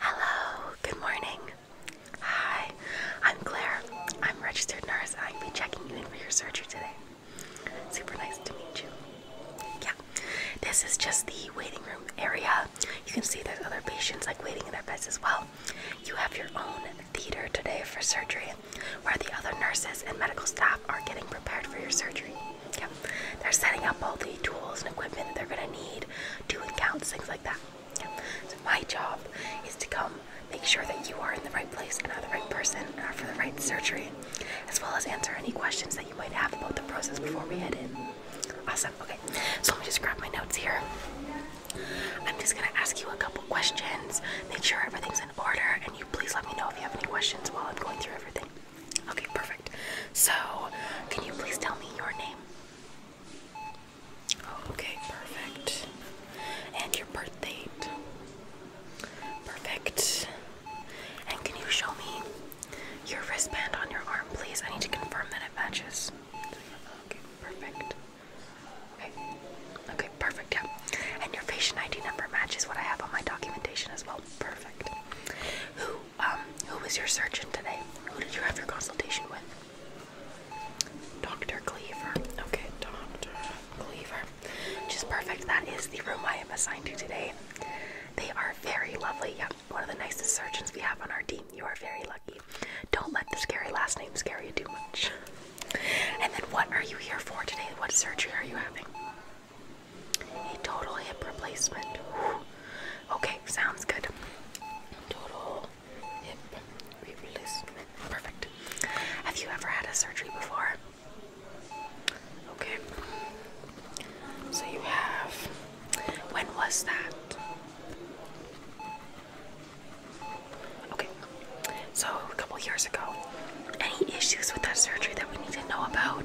Hello, good morning. Hi, I'm Claire. I'm registered nurse. I'll be checking you in for your surgery today. Super nice to meet you. Yeah, this is just the waiting room area. You can see there's other patients like waiting in their beds as well. You have your own theater today for surgery where the other nurses and medical staff are getting prepared for your surgery. Yeah. They're setting up all the tools and equipment that they're going to need doing counts, things like that. Yeah. So my job is to come make sure that you are in the right place and are the right person and are for the right surgery, as well as answer any questions that you might have about the process before we head in. Awesome. Okay, so let me just grab my notes here. I'm just gonna ask you a couple questions, make sure everything's in order, and you please let me know if you have any questions while I'm going through everything. Okay, perfect. So, can you please tell me your name? Okay, perfect. And your birth date. Perfect. And can you show me your wristband on your arm, please? I need to confirm that it matches. Okay, perfect. Okay. Okay, perfect, yeah. And your patient ID number matches what I have on my documentation as well. Perfect. Who um, who was your surgeon today? Who did you have your consultation with? Dr. Cleaver. Okay, Dr. Cleaver. Which is perfect. That is the room I am assigned to today. They are very lovely. Yep, one of the nicest surgeons we have on our team. You are very lucky. Don't let the scary last name scare you too much. And then, what are you here for today? What surgery are you having? A total hip replacement. Okay, sounds good. Perfect. Have you ever had a surgery before? Okay. So you have. When was that? Okay. So a couple years ago. Any issues with that surgery that we need to know about?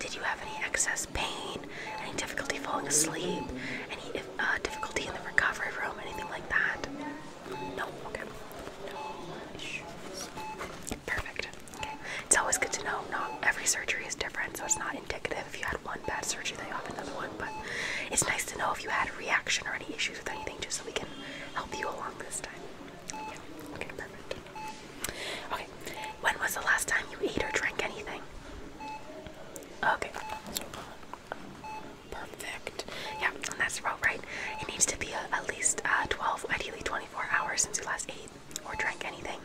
Did you have any excess pain, any difficulty falling asleep, any uh, difficulty in the recovery room, anything like that? No, okay. No Perfect. Okay. It's always good to know not every surgery is different, so it's not indicative. If you had one bad surgery, then you have another one, but it's nice to know if you had a reaction or any issues with anything just so we can help you along this time. Okay, perfect. Okay. When was the last time you ate or drank anything? Okay, Perfect. Yeah, that's right. It needs to be uh, at least uh, 12, ideally 24 hours since you last ate or drank anything.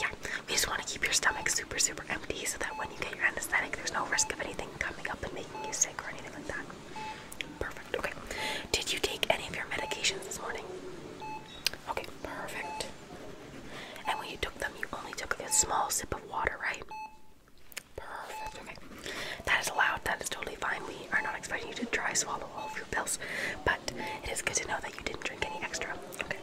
Yeah, we just want to keep your stomach super, super empty so that when you get your anesthetic, there's no risk of anything coming up and making you sick or anything like that. Perfect. Okay. Did you take any of your medications this morning? Okay, perfect. And when you took them, you only took a small sip of water, right? Perfect. Okay. That is allowed. That is totally fine. We are not expecting you to dry swallow all of your pills, but it is good to know that you didn't drink any extra. Okay.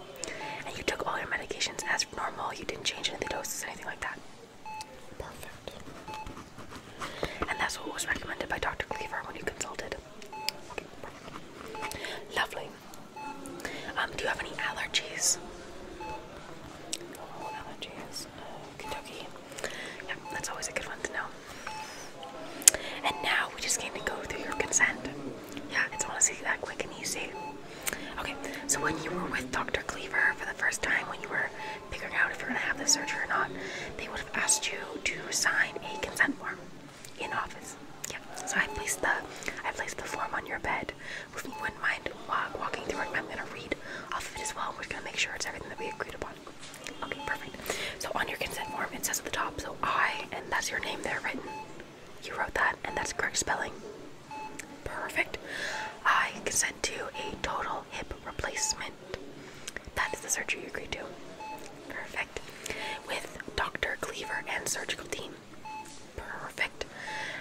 And you took all your medications as normal. You didn't change any of the doses, anything like that. Perfect. And that's what was recommended by Dr. Cleaver when you consulted. Lovely. Um, do you have any allergies? Oh, allergies. Uh, Kentucky. Yeah, that's always a good one to know. And now we just need to go through your consent. Yeah, it's honestly that quick and easy. Okay, so when you were with Dr. Cleaver for the first time, when you were figuring out if you're going to have the surgery or not, they would have asked you to sign a consent form in office. Yeah, so I placed the I placed the form on your bed read. wouldn't mind walking through it, I'm going to read off of it as well. We're going to make sure it's everything that we agreed upon. Okay, perfect. So on your consent form, it says at the top, so I, and that's your name there written. You wrote that, and that's correct spelling. Perfect. I consent to a total hip replacement. That is the surgery you agreed to. Perfect. With Dr. Cleaver and surgical team. Perfect.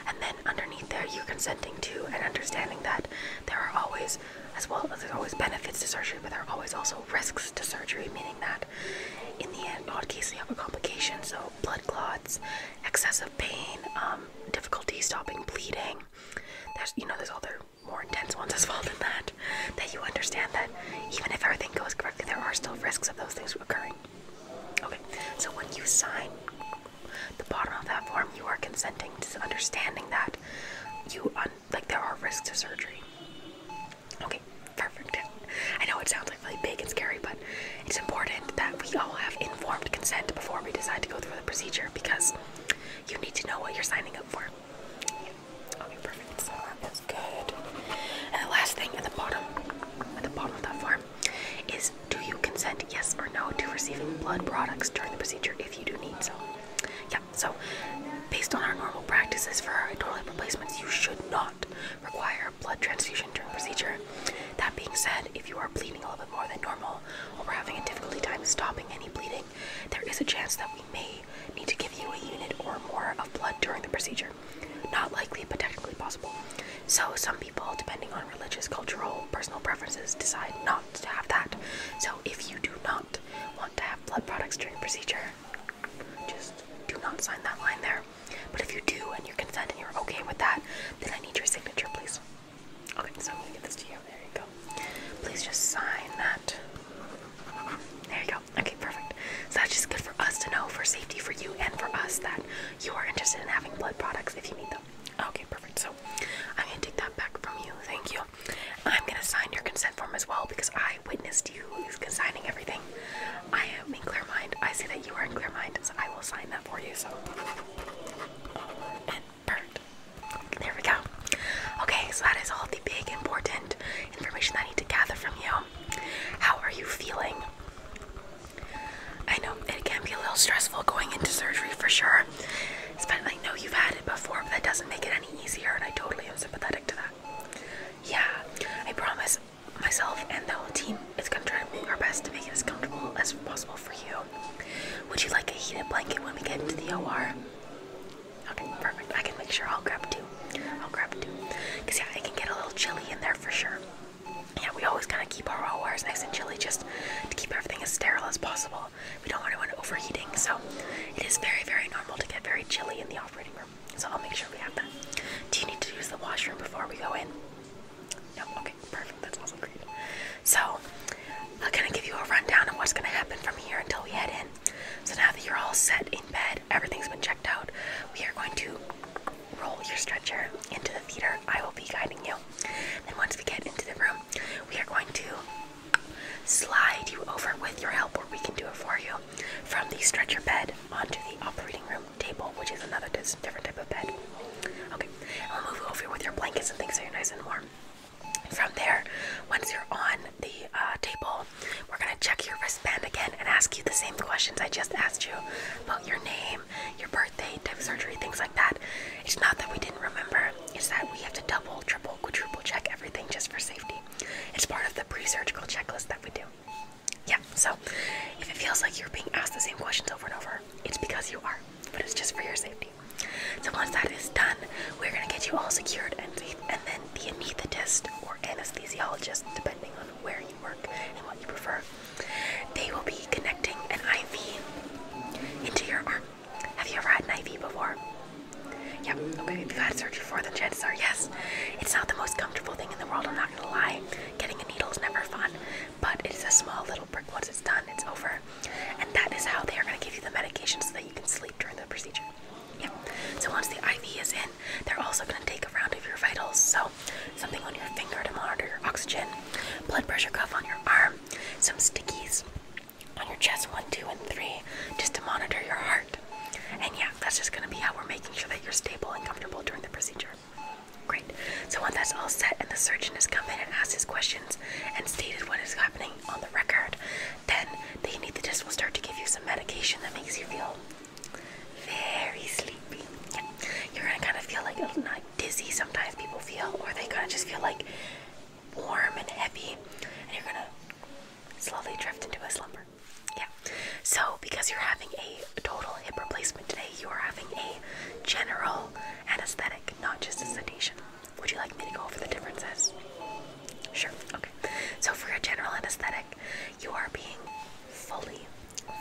And then underneath there, you consenting to and understanding that there are always, as well as there's always benefits to surgery, but there are always also risks to surgery, meaning that in the end, odd case, you have a complication, so blood clots, excessive pain, um, difficulty stopping bleeding. There's, you know, there's other more intense ones as well than that. That you understand that even if everything goes correctly, there are still risks of those things occurring. Okay, so when you sign the bottom of that form, you are consenting to understanding that you, un like, there are risks to surgery. Okay, perfect. I know it sounds like really big and scary, but it's important that we all have informed consent before we decide to go through the procedure because you need to know what you're signing up for. Okay, perfect. that is good. And the last thing at the bottom, at the bottom of that form, is do you consent, yes or no, to receiving blood products during the procedure if you do need some? Yeah, so based on our normal practices for our toilet replacements, you should not require a blood transfusion during procedure. That being said, if you are bleeding a little bit more than normal or we're having a difficulty time stopping any bleeding, there is a chance that we may need to give you a unit or more of blood during the procedure. Not likely, but technically possible. So, some people, depending on religious, cultural, personal preferences, decide not to have that. So, if you do not want to have blood products during procedure, just do not sign that line there. But if you do and you consent and you're okay with that, then I need your signature, please. Okay, so I'm gonna get this to you. There you go. Please just sign that. There you go. Okay, perfect. So that's just good for us to know for safety for you and for us that you are interested in having blood products if you need them. Okay, perfect. So I'm gonna take that back from you. Thank you. I'm gonna sign your consent form as well because I witnessed you signing everything. I am in clear mind. I see that you are in clear mind, so I will sign that for you. So and burnt. There we go. Okay, so that is all the big important information I need to gather from you. How are you feeling? I know it can be a little stressful going into surgery for sure. I know you've had it before, but that doesn't make it any easier, and I totally am sympathetic to that. Yeah, I promise myself and the whole team is going to try to do our best to make it as comfortable as possible for you. Would you like a heated blanket when we get into the OR? Okay, perfect. I can make sure I'll grab two. I'll grab two. Because, yeah, it can get a little chilly in there for sure yeah, we always kind of keep our raw wires nice and chilly just to keep everything as sterile as possible. We don't want anyone overheating, so it is very, very normal to get very chilly in the operating room. So I'll make sure we have that. Do you need to use the washroom before we go in? No? Okay, perfect. That's also great. So i am gonna give you a rundown of what's going to happen from here until we head in. So now that you're all set in bed, everything's been checked out, we are going to roll your stretcher into the theater. I will be guiding you. Then once we get into the room, we are going to slide you over with your help, or we can do it for you, from the stretcher bed onto the operating room table, which is another different type of bed. Okay, and we'll move you over with your blankets and things so you're nice and warm. From there, once you're on the uh, table, we're gonna check your wristband again and ask you the same questions I just asked you about your name, your birth birthday, type surgery, things like that. It's not that we didn't remember, it's that we have to double, triple, quadruple check everything just for safety. It's part of the pre surgical checklist that we do. Yeah, so if it feels like you're being asked the same questions over and over, it's because you are, but it's just for your safety. So once that is done, we're gonna get you all secured and, then the anesthetist or anesthesiologist, depending on where you were and what you prefer. They will be connecting an IV into your arm. Have you ever had an IV before? Yep, okay, if you've had surgery before, then chances are yes. It's not the most comfortable thing in the world, I'm not gonna lie. Getting a needle is never fun, but it is a small little prick. Once it's done, it's over. And that is how they are gonna give you the medication so that you can sleep during the procedure. Yep. So once the IV is in, they're also gonna take a round of your vitals. So something on your finger to monitor your oxygen, blood pressure cuff on your arm, some stickies on your chest one, two, and three, just to monitor your heart. And yeah, that's just gonna be how we're making sure that you're stable and comfortable during the procedure. Great. So once that's all set and the surgeon has come in and asked his questions and stated what is happening on the record, then the anesthetist will start to give you some medication that makes you feel very sleepy. You're gonna kind of feel like a oh, dizzy sometimes people feel or they kind of just feel like warm and heavy and you're gonna slowly drift into a slumber yeah so because you're having a total hip replacement today you are having a general anesthetic not just a sedation would you like me to go over the differences sure okay so for a general anesthetic you are being fully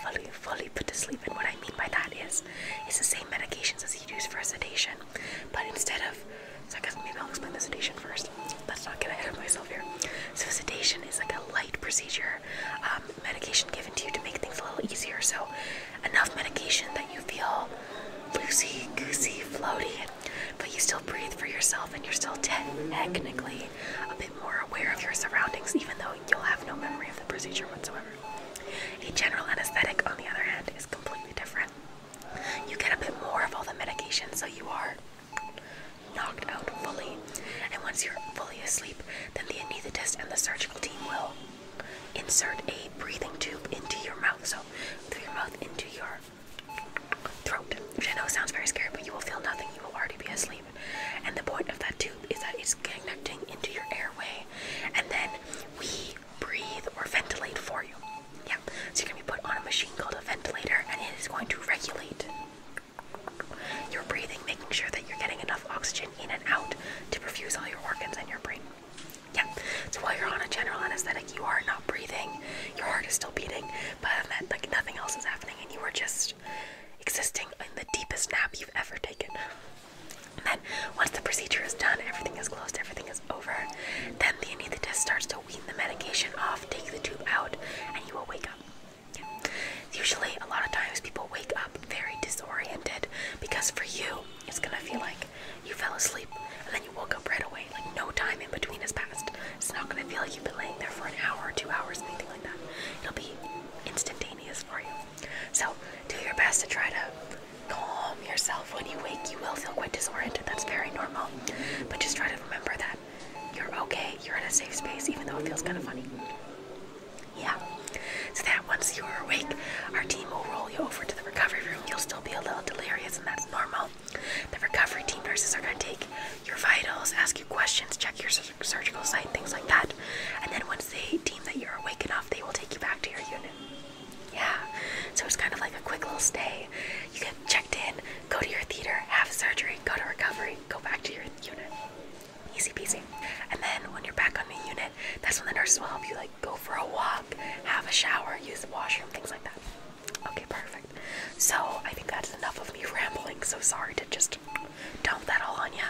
fully, fully put to sleep. And what I mean by that is it's the same medications as you use for sedation, but instead of so I guess maybe I'll explain sedation first. Let's not get ahead of myself here. So sedation is like a light procedure, um, medication given to you to make things a little easier. So enough medication that you feel loosey goosey, floaty, but you still breathe for yourself and you're still technically a bit more aware of your surroundings, even though you'll have no memory of the procedure whatsoever. A general anesthetic, on the other hand, is completely different. You get a bit more of all the medication, so you are knocked out fully. And once you're fully asleep, then the anesthetist and the surgical team will insert a breathing tube into your mouth, so through your mouth into your throat, which I know sounds very scary, but you will feel nothing. You will already be asleep. And the point of that tube is that it's connecting into your airway and then we breathe or ventilate for you. Yeah. So you're going to be put on a machine called a ventilator and it is going to regulate your breathing, making sure that you're getting enough oxygen in and out to perfuse all your organs and your brain. Yeah. So while you're on a general anesthetic, you are not breathing, your heart is still beating, but like nothing else is happening and you are just existing in the deepest nap you've ever taken then once the procedure is done, everything is closed, everything is over, then the anesthetist starts to wean the medication off, take the tube out, and you will wake up. Usually, a lot of times people wake up very disoriented because for you, it's gonna feel like you fell asleep and then you woke up right away. Like no time in between has passed. It's not gonna feel like you've been laying there for an hour or two hours, anything like that. It'll be instantaneous for you. So do your best to try to calm yourself. When you wake, you will feel quite disoriented. That's very normal. But just try to remember that you're okay. You're in a safe space, even though it feels kind of funny. Yeah. So that once you are awake, our team will roll you over to the recovery room. You'll still be a little delirious, and that's normal. The recovery team nurses are going to take your vitals, ask you questions, check your surgical site, things like that. And then once they that you're awake enough, they will take you back to your unit. Yeah, so it's kind of like a quick little stay. You get checked in, go to your theater, have surgery, go to recovery, go back to your unit. Easy peasy. And then when you're back on the unit, that's when the nurses will help you like go for a walk, have a shower, use the washroom, things like that. Okay, perfect. So I think that's enough of me rambling. So sorry to just dump that all on you.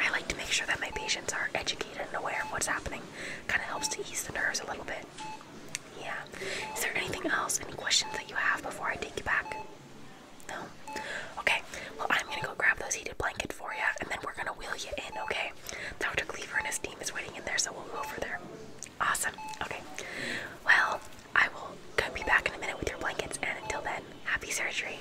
I like to make sure that my patients are educated and aware of what's happening. Kind of helps to ease the nerves a little bit. Yeah. Is there anything else? Any questions that you have before I take you back? No? Okay. Well, I'm going to go grab those heated blankets for you, and then we're going to wheel you in, okay? Dr. Cleaver and his team is waiting in there, so we'll go over there. Awesome. Okay. Well, I will be back in a minute with your blankets, and until then, happy surgery.